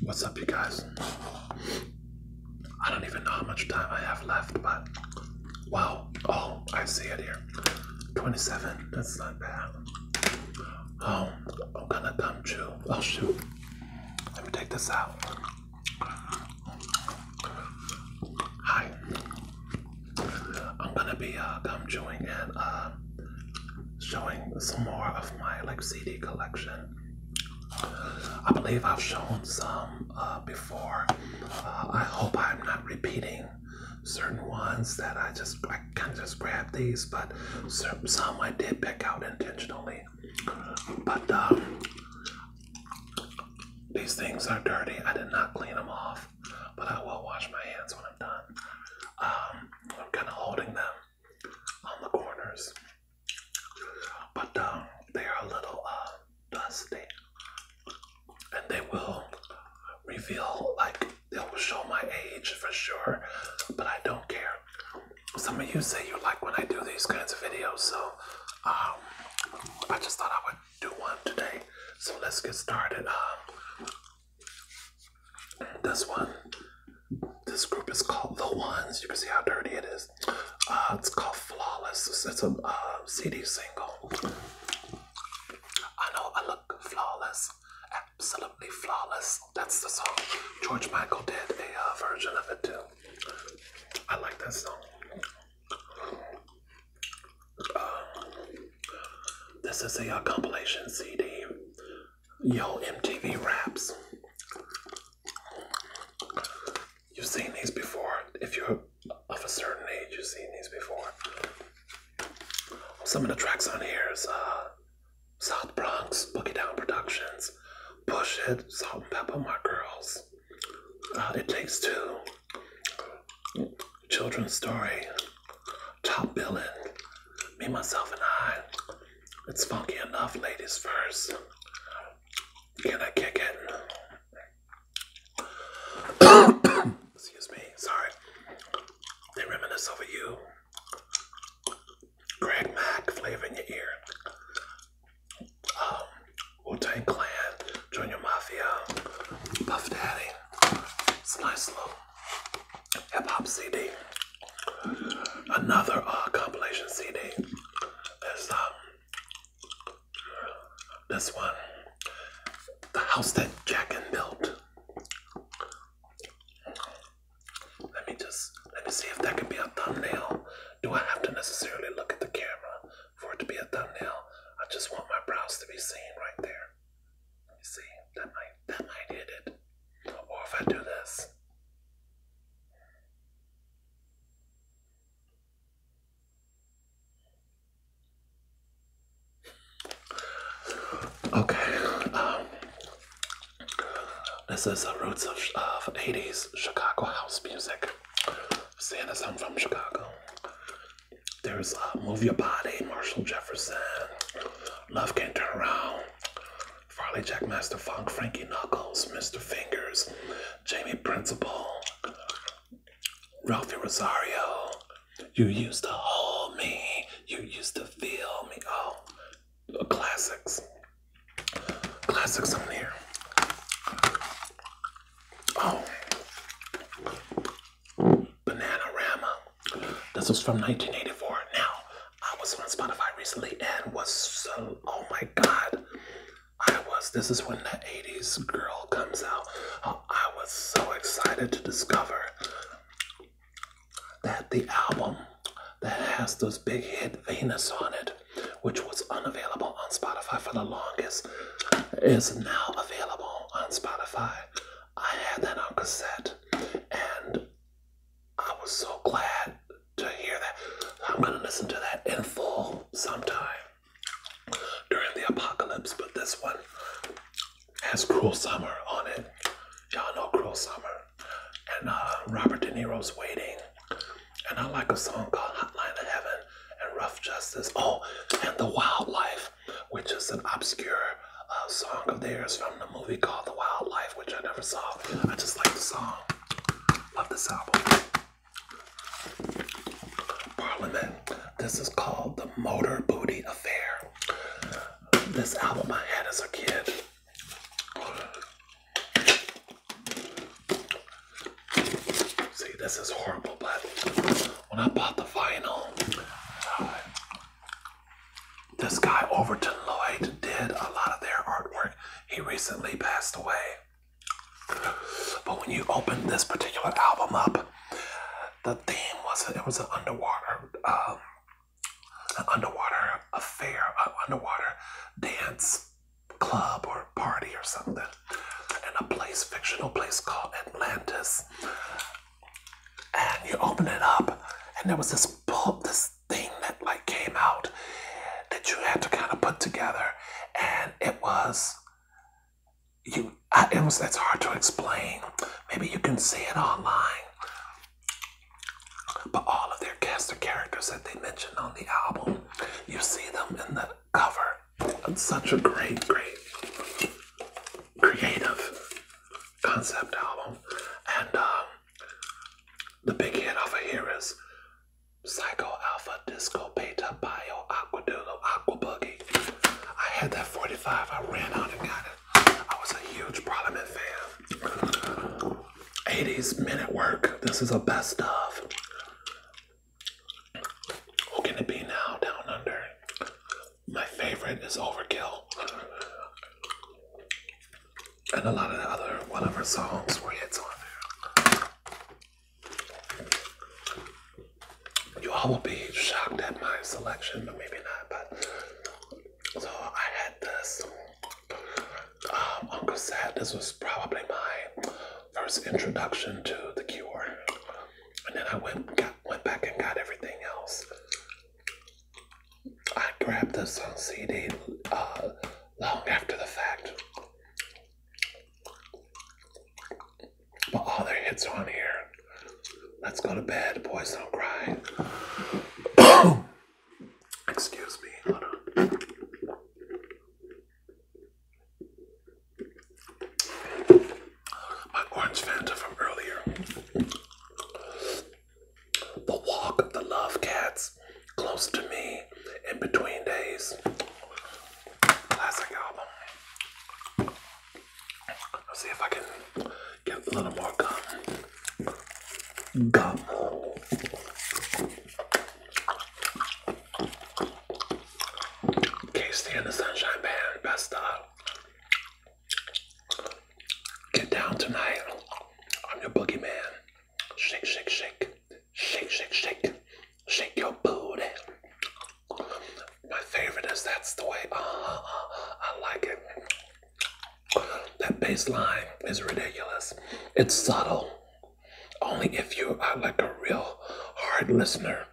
What's up, you guys? I don't even know how much time I have left, but wow. Oh, I see it here. 27. That's not bad. Oh, I'm gonna come chew. Oh, shoot. Let me take this out. Hi. I'm gonna be uh, gum chewing and uh, showing some more of my like CD collection. I believe I've shown some uh, before. Uh, I hope I'm not repeating certain ones that I just I kind of just grabbed these, but some I did pick out intentionally. But um, these things are dirty. I did not clean them off but I will wash my hands when I'm done. Um, I'm kind of holding them on the corners, but um, they are a little uh, dusty, and they will reveal like they will show my age for sure. But I don't care. Some of you say you like when I do these kinds of videos, so um, I just thought I would do one today. So let's get started. Um, this one, this group is called The Ones. You can see how dirty it is. Uh, it's called Flawless. It's, a uh, CD single. I know I look flawless, absolutely flawless. That's the song. George Michael did a uh, version of it too. I like that song this is a compilation CD, Yo MTV Raps. You've seen these before. If you're of a certain age, you've seen these before. Some of the tracks on here is uh, South Bronx, Boogie Down Productions, Bush It, Salt and Pepper, My Girls is uh, It Takes Two, Children's Story, Top Billing, Me, Myself, and I. It's funky enough, ladies first. Can I kick it? Excuse me, sorry. They reminisce over you. Greg Mack, flavor in your ear. Um, Wu Tang Clan, Junior Mafia, Puff Daddy, Slice Hip Hop CD, another uh, compilation CD. There's um, this one, The House That Jackin Built. Let me just, let me see if that can be a thumbnail. Do I have to necessarily look at the camera? for it to be a thumbnail. I just want my brows to be seen right there. You see, that might that might hit it. Or if I do this. Okay, um, this is the roots of, of 80s Chicago house music. Seeing as i from Chicago, there's Move Your Body, Marshall Jefferson, Love Can't Turn Around, Farley Jack Master Funk, Frankie Knuckles, Mr. Fingers, Jamie Principle, Ralphie Rosario. You used to hold me, you used to feel me. Oh, uh, classics. Classics on here. Oh, Bananarama. This was from 1984. Now, I was on Spotify recently and was so, oh my god. I was, this is when the 80s girl comes out. Oh, I was so excited to discover that the album that has those big hit Venus on it, which was unavailable on Spotify for the longest Podcast is now available on Spotify. I had that on cassette and I was so glad to hear that. I'm going to listen to that in full sometime during the apocalypse, but this one has Cruel Summer on it. Y'all know Cruel Summer. And uh, Robert De Niro's Waiting. And I like a song called Hotline to Heaven and Rough Justice. Oh, and The Wildlife, which is an obscure uh, song of theirs from the movie called The Wildlife, which I never saw. I just like the song. Love this album. Parliament. This is called The Motor Booty Affair. This album I had as a kid. See, this is horrible, but when I bought the vinyl, this guy Overton Lloyd did a lot of their artwork. He recently passed away. But when you open this particular album up, the theme was it was an underwater, um, underwater affair, an underwater dance club or party or something in a place, fictional place called Atlantis. And you open it up, and there was this book, this thing that like came out that you had to kind of put together, and it was you. I, it was it's hard to explain. Maybe you can see it online. But all of their cast of characters that they mentioned on the album, you see them in the cover. It's such a great, great, creative concept album. And um, the big hit over here is Psycho Alpha Disco Beta Bio Aquadulo Aqua Boogie. I had that 45, I ran out and got it. I was a huge Parliament fan. 80s Minute Work, this is the best of. What can it be now? Down under. My favorite is Overkill. And a lot of the other one of her songs were hits on there. You all will be shocked at my selection, but maybe not. But so I had this um, on This was probably my First introduction to the cure. And then I went went back and got everything else. I grabbed this on CD uh, long after the fact. But all their hits are on here. Let's go to bed, boys don't cry. Excuse me, my orange Fanta from earlier. The walk of the love cats close to me in between days. Classic album. Let's see if I can get a little more gum. Gum. Casey in the Sunshine Band, best of. Get down tonight. I'm your boogie man. Shake, shake, shake. Shake, shake, shake. Shake your booty. My favorite is that's the way. Uh, uh, I like it. That bass line is ridiculous. It's subtle. Only if you are like a real hard listener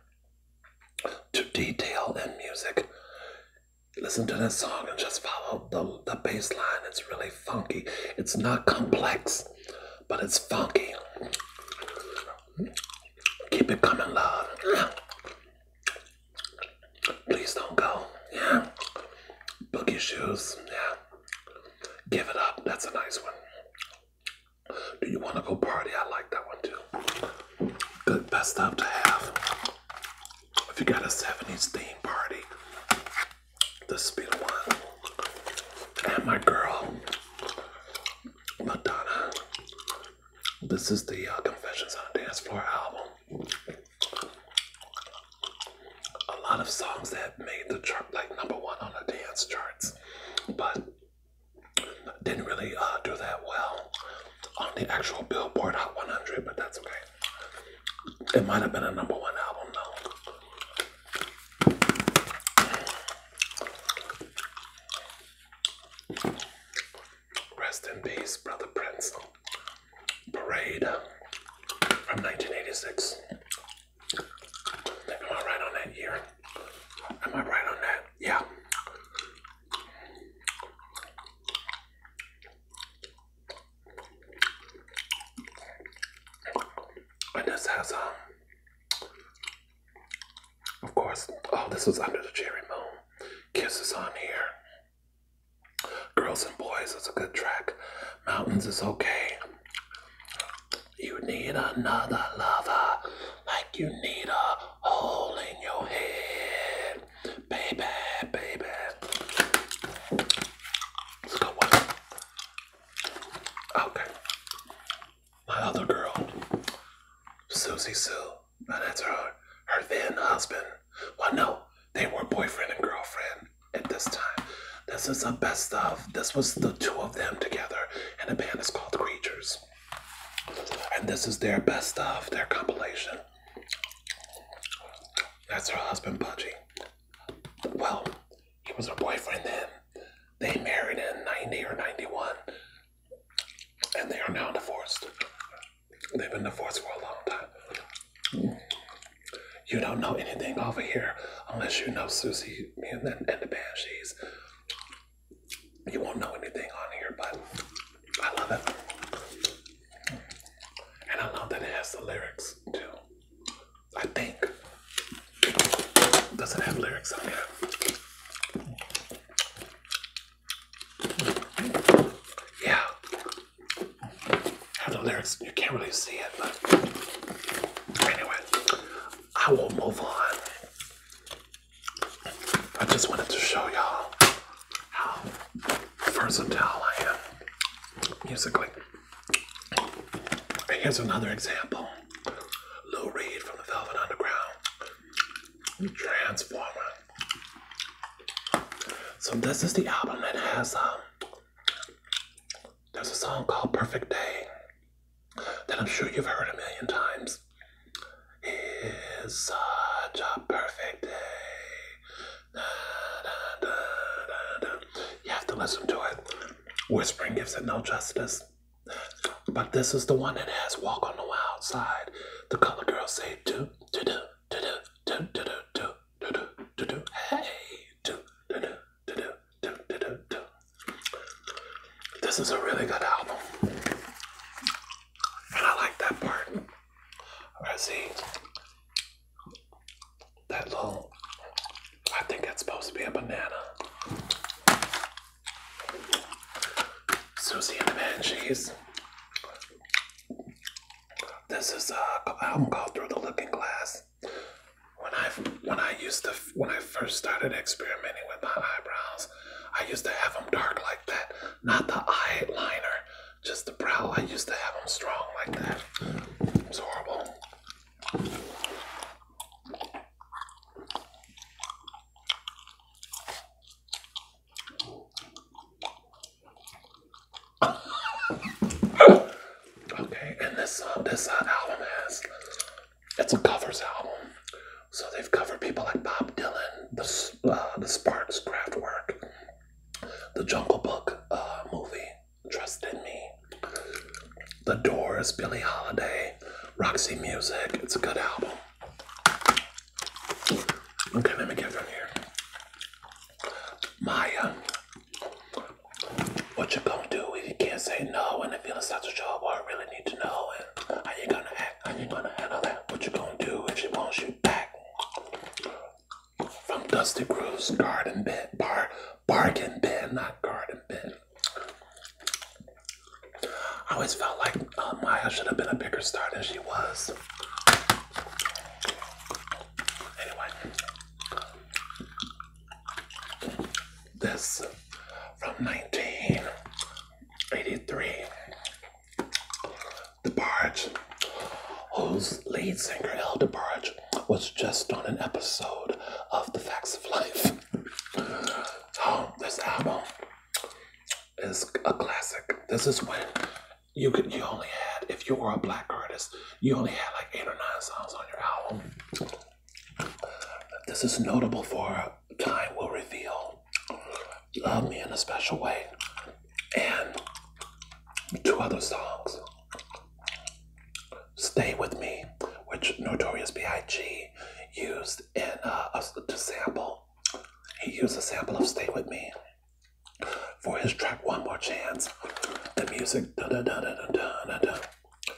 to detail in music. Listen to this song and just follow the, the bass line. It's really funky. It's not complex, but it's funky. Keep it coming, love. Please don't go. Yeah. Boogie shoes. Yeah. Give it up. That's a nice one. Do you want to go party? I like that one too. Good, best stuff to have. If you got a 70s theme party, this would be the one. And my girl, Madonna. This is the uh, Confessions on a Dance Floor album. A lot of songs that made the chart, like number one on the dance charts, but didn't really uh, do that well on the actual Billboard Hot 100, but that's okay. It might have been a number one album though. Rest in peace, Brother Prince. Parade from 1986. Am I right on that year? Am I right on that? Yeah. And this has, um, of course, oh, this was under the cherry moon. Kisses on here. Girls and Boys that's a good track. Mountains is okay. You need another lover, like you need a hole in your head. Baby, baby. Let's go Okay. My other girl, Susie Sue, and that's her, her then husband. Well, no, they were boyfriend and girlfriend at this time. This is the best of this was the two of them together, and the band is called Creatures. And this is their best of their compilation. That's her husband, Pudgy. Well, he was her boyfriend then. They married in 90 or 91, and they are now divorced. They've been divorced for a long time. You don't know anything over here unless you know Susie and, the band she's you won't know anything on here, but I love it. And I love that it has the lyrics too. I think. Does not have lyrics on it? Yeah. Have the lyrics. You can't really see it, but anyway. I will move on. I just wanted to show y'all how versatile I am musically. Here's another example. Lou Reed from the Velvet Underground. Transformer. So this is the album that has um there's a song called Perfect Day that I'm sure you've heard a million times. It's such a perfect day. Da, da, da, you have to listen to it. Whispering gives it no justice. But this is the one that has Walk on the Wild Side. The color girls say do, do, do, do, do, do, do, do, do, do, do, do, hey. This is a really good album. And I like that part. I see that little, I think it's supposed to be a banana. Susie and the Banshees. This is a album called Through the Looking Glass. When I when I used to when I first started experimenting with my eyebrows, I used to have them dark like that, not the eyeliner, just the brow. I used to have them strong like that. It's horrible. okay, and this uh, this uh, album has it's a covers album. So they've covered people like Bob Dylan, the, uh, the Sparks Kraftwerk, the Jungle Book uh, movie, Trust in Me, The Doors, Billie Holiday, Roxy Music. It's a good album. Okay, let me get from here. Maya what you gonna do if you can't say no and the feels like to show where I really need to know how you gonna act, how you gonna handle that, what you gonna do if she wants you back. From Dusty Cruz, garden bed, bar, bargain bed, not garden bed. I always felt like uh, Maya should have been a bigger star than she was. Anyway this from 1983. the DeBarge, whose lead singer El DeBarge was just on an episode of The Facts of Life. so this album is a classic. This is when you could you only had if you were a black artist, you only had like eight or nine songs on your album. This is notable for time will reveal. Love Me in a Special Way and two other songs. Stay With Me, which Notorious B.I.G. used in uh, a, to sample. He used a sample of Stay With Me for his track One More Chance. The music,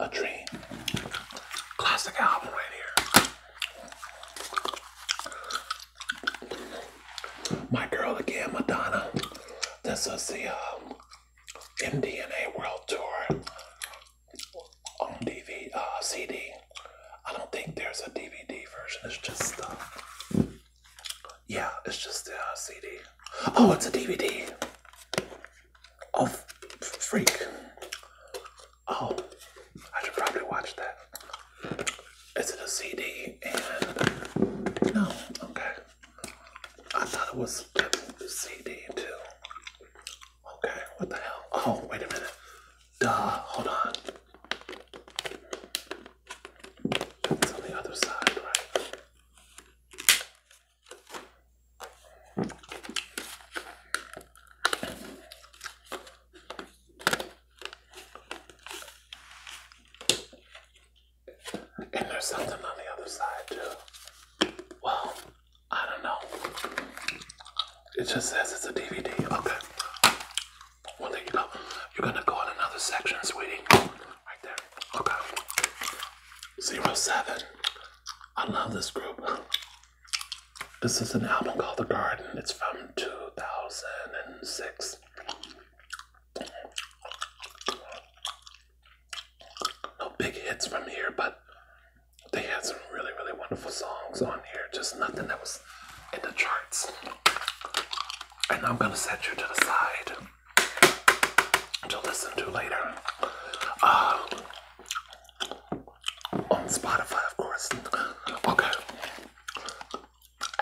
a dream. Classic album right here. My girl again, Madonna. This is the MDNA um, World Tour on DVD, uh, CD. I don't think there's a DVD version. It's just uh, yeah, it's just a uh, CD. Oh, it's a DVD of oh, Freak. Oh, I should probably watch that. Is it a CD? And no, okay. I thought it was a CD too. Okay, what the hell? Oh, wait a minute. Duh, hold on. It's on the other side, right? And there's something on the other side too. Well, I don't know. It just says it's a DVD. Okay. Well, there you go. You're gonna go in another section, sweetie. Right there. Okay. Zero seven. I love this group. This is an album called The Garden. It's from 2006. No big hits from here, but they had some really, really wonderful songs on here. Just nothing that was in the charts. And I'm going to set you to the side to listen to later. Um, on Spotify, of course. Okay.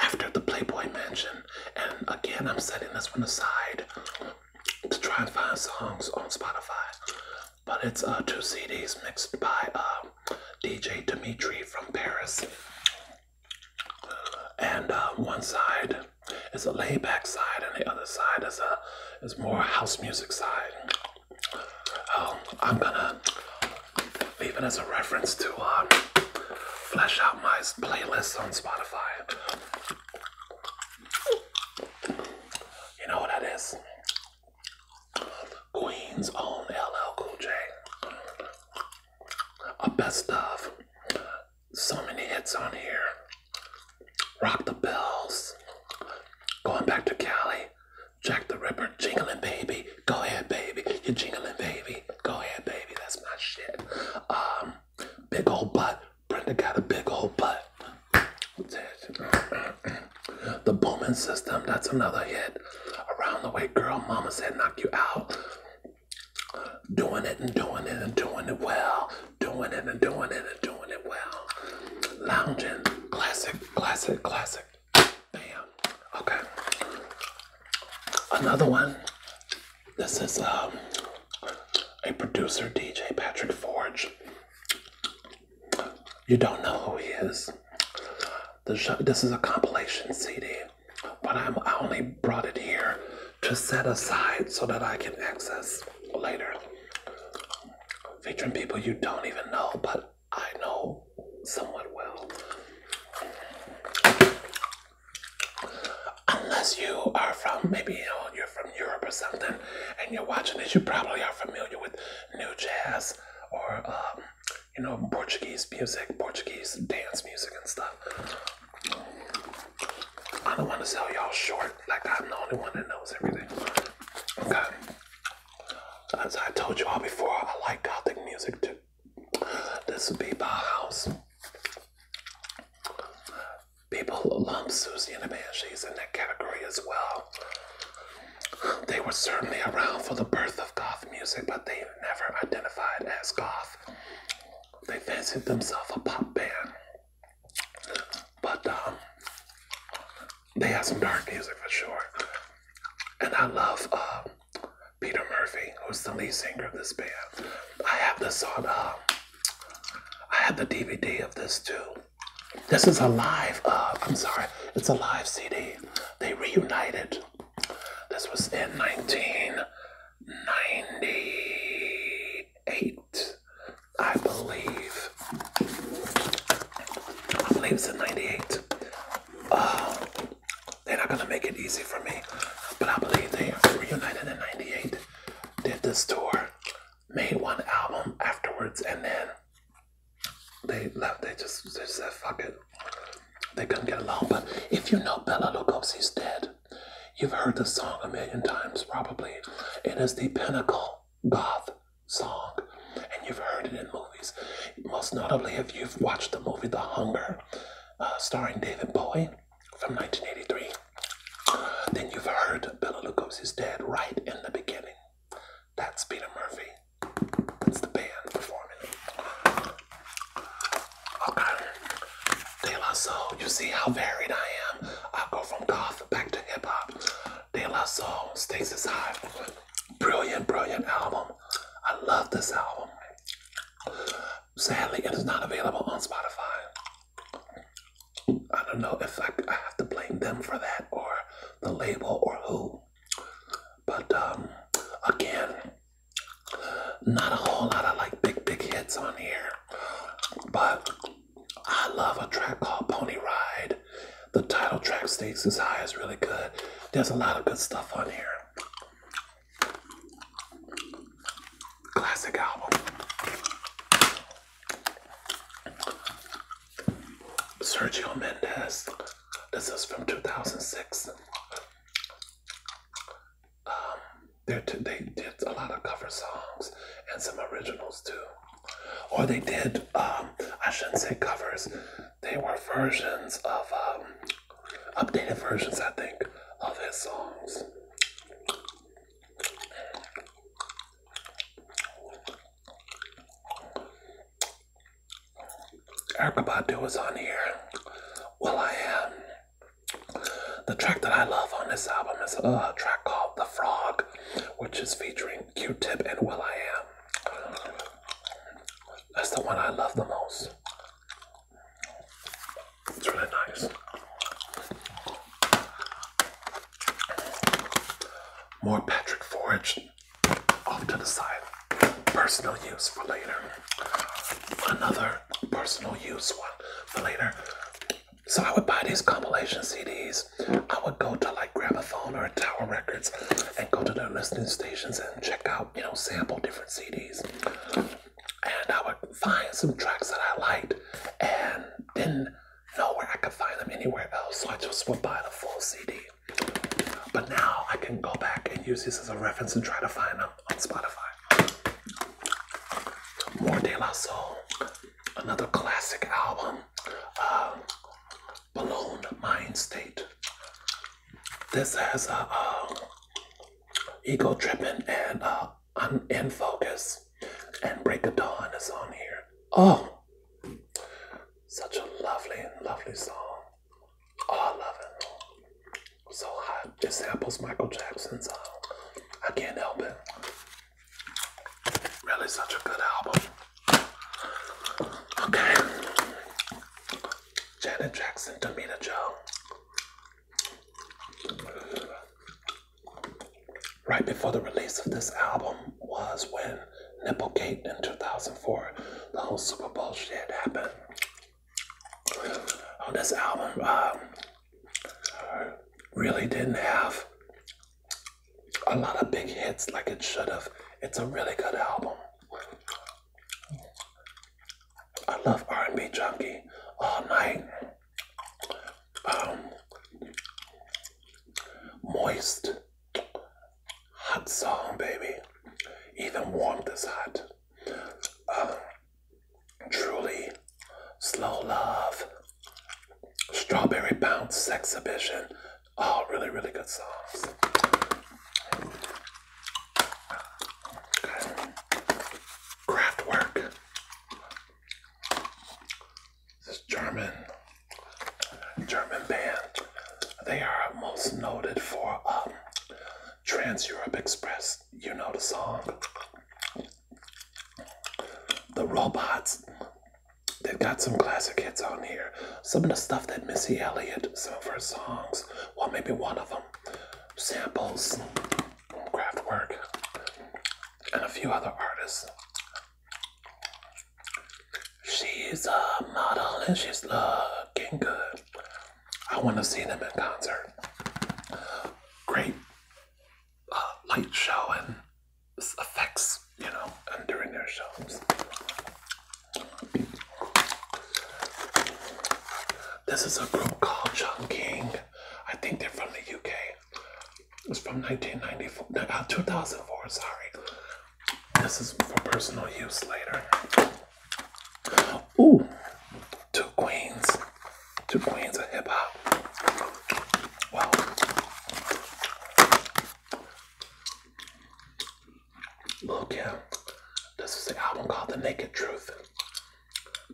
After the Playboy Mansion, and again, I'm setting this one aside to try and find songs on Spotify. But it's uh, two CDs mixed by um, DJ Dimitri from Paris. And uh, one side it's a layback side, and the other side is a is more house music side. Um, I'm gonna leave as a reference to um, flesh out my playlist on Spotify. You know what that is? Queen's own LL Cool J. A best of. So many hits on here. Rock the bells. Going back to Cali. Jack the Ripper, jingling baby. Go ahead, baby. You're jingling, baby. Go ahead, baby. That's my shit. Um, big old butt. Brenda got a big old butt. The Bowman System, that's another hit. Around the way, girl, mama said knock you out. Doing it and doing it and doing it well doing it and doing it and doing it well. Lounging, classic, classic, classic. Bam. Okay. Another one. This is um, a producer, DJ Patrick Forge. You don't know who he is. Show, this is a compilation CD, but I'm, I only brought it here to set aside so that I can access later featuring people you don't even know, but I know somewhat well. Unless you are from maybe you are from Europe or something, and you're watching this, you probably are familiar with new jazz or um, you know Portuguese music, Portuguese dance music and stuff. I don't want to sell y'all short like I'm the only one that knows everything. Okay. As I told you all before, I like gothic music too. This would be my house. People lump Susie and the She's in that category as well. They were certainly around for the birth of goth music, but they never identified as goth. They fancied themselves a pop band. But um, they have some dark music for sure. And I love uh, Peter Murphy, who's the lead singer of this band. I have this on, uh, I have the DVD of this too. This is a live, uh, I'm sorry, it's a live CD. They reunited. This was in 1998. I believe. I believe it's in '98. Uh, they're not gonna make it easy for me, but I believe they reunited in '98, did this tour, made one album afterwards, and then they left. They just they said fuck it. They couldn't get along. But if you know Bella Lugosi's dead, You've heard the song a million times, probably. It is the pinnacle goth song, and you've heard it in movies. Most notably, if you've watched the movie The Hunger, uh, starring David Bowie from 1983, then you've heard Bela Lugosi's Dead right in the beginning. That's Peter Murphy. That's the band performing. Okay. De La Soul, you see how varied I am. I go from goth back to hip hop. De La Soul, Stasis High. Brilliant, brilliant album. I love this album. Sadly, it is not available on Spotify. I don't know if I, I have to blame them for that or the label or who. But um, again, not a whole lot of like big, big hits on here. But I love a track called Pony Ride. The title track, Stakes is High, as really good. There's a lot of good stuff on here. Classic album. Sergio Mendes. This is from 2006. Um, they did a lot of cover songs and some originals too. Or they did, um, I shouldn't say covers, they were versions of, um, updated versions, I think, of his songs. Erica Badu is on here. Well, I am. The track that I love on this album is a track called The Frog, which is featuring Q Tip and Will I Am. That's the one I love the most. It's really nice. More Patrick Forage off to the side. Personal use for later. Another personal use one for later. So I would buy these compilation CDs. I would go to like Gramophone or Tower Records and go to their listening stations and check out, you know, sample different CDs. And I would find some tracks that I liked and didn't know where I could find them anywhere else. So I just would buy the full CD. But now I can go back and use this as a reference and try to find them on Spotify. More De La Soul, another classic album, uh, um, Balloon Mind State. This has a, uh, um, Ego Tripping" and uh, In Focus and Break of Dawn is on here. Oh, such a lovely, lovely song. Oh, I love it. So hot. It samples Michael Jackson's song. Uh, I can't help it. Really such a good album. Okay. Janet Jackson, Tamina Joe. Right before the release of this album was when Nipplegate in 2004, the whole Super Bowl shit happened. On this album, um, really didn't have a lot of big hits like it should have. It's a really good album. I love R&B Junkie all night. Um, moist, hot song, baby. Even warmth is hot. Um, Truly, Slow Love, Strawberry Bounce Exhibition. All oh, really, really good songs. Okay. Craftwork. This German, German band. They are most noted for um, Trans Europe Express you know the song. The robots. They've got some classic hits on here. Some of the stuff that Missy Elliott, some of her songs, well, maybe one of them, samples, craft and a few other artists. She's a model and she's looking good. I want to see them in concert. Great uh, light show and effects, you know, and during their shows. This is a group called King. I think they're from the UK. It's from 1994, uh, 2004, sorry. This is for personal use later. Ooh, two queens to Queens of Hip Hop. Wow. Lil Kim. This is the album called The Naked Truth.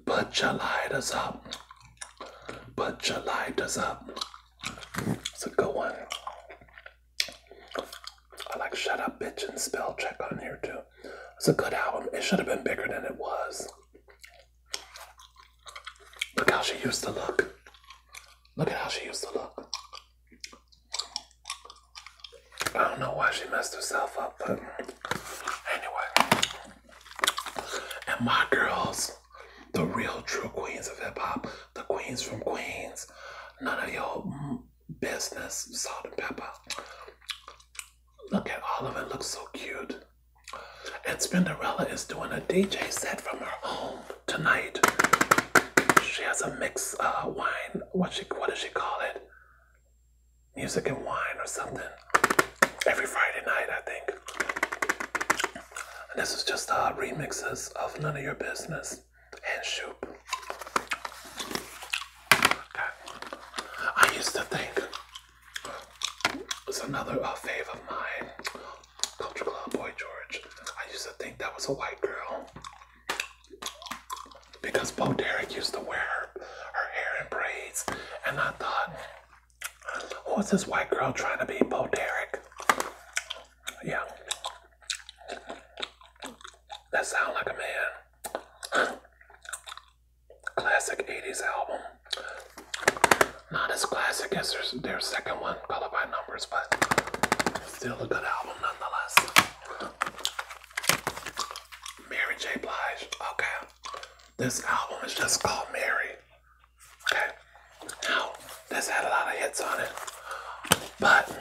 Put your lighters up. Put your lighters up. It's a good one. I like Shut Up Bitch and Spell Check on here too. It's a good album. It should have been bigger than it was. Look how she used to look. Look at how she used to look. I don't know why she messed herself up, but anyway. And my girls, the real true queens of hip hop, the queens from Queens, none of your business, salt and pepper. Look at all of it, looks so cute. And Spinderella is doing a DJ set from her home tonight. She has a mix uh, wine. What she what does she call it? Music and wine or something. Every Friday night, I think. And this is just uh, remixes of None of Your Business and Shoop. I used to think it's another uh, fave of mine. Culture Club Boy George. I used to think that was a white girl because Bo Derek used to wear her, hair in braids, and I thought, what's this white girl trying to be Bo Derek? Yeah. That sounds like a man classic 80s album. Not as classic as their, second one, Color by Numbers, but still a good album nonetheless. Mary J. Blige. Okay. This album is just called Mary. Okay. Now, this had a lot of hits on it. But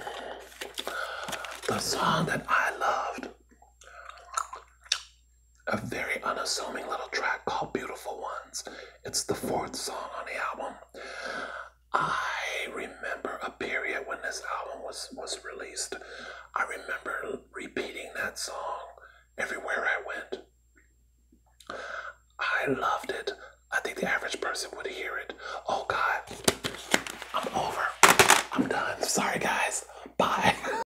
the song that I loved a very unassuming little track called Beautiful Ones. It's the fourth song on the album. I remember a period when this album was, was released. I remember repeating that song everywhere I went. I loved it. I think the average person would hear it. Oh God, I'm over. I'm done. Sorry guys. Bye.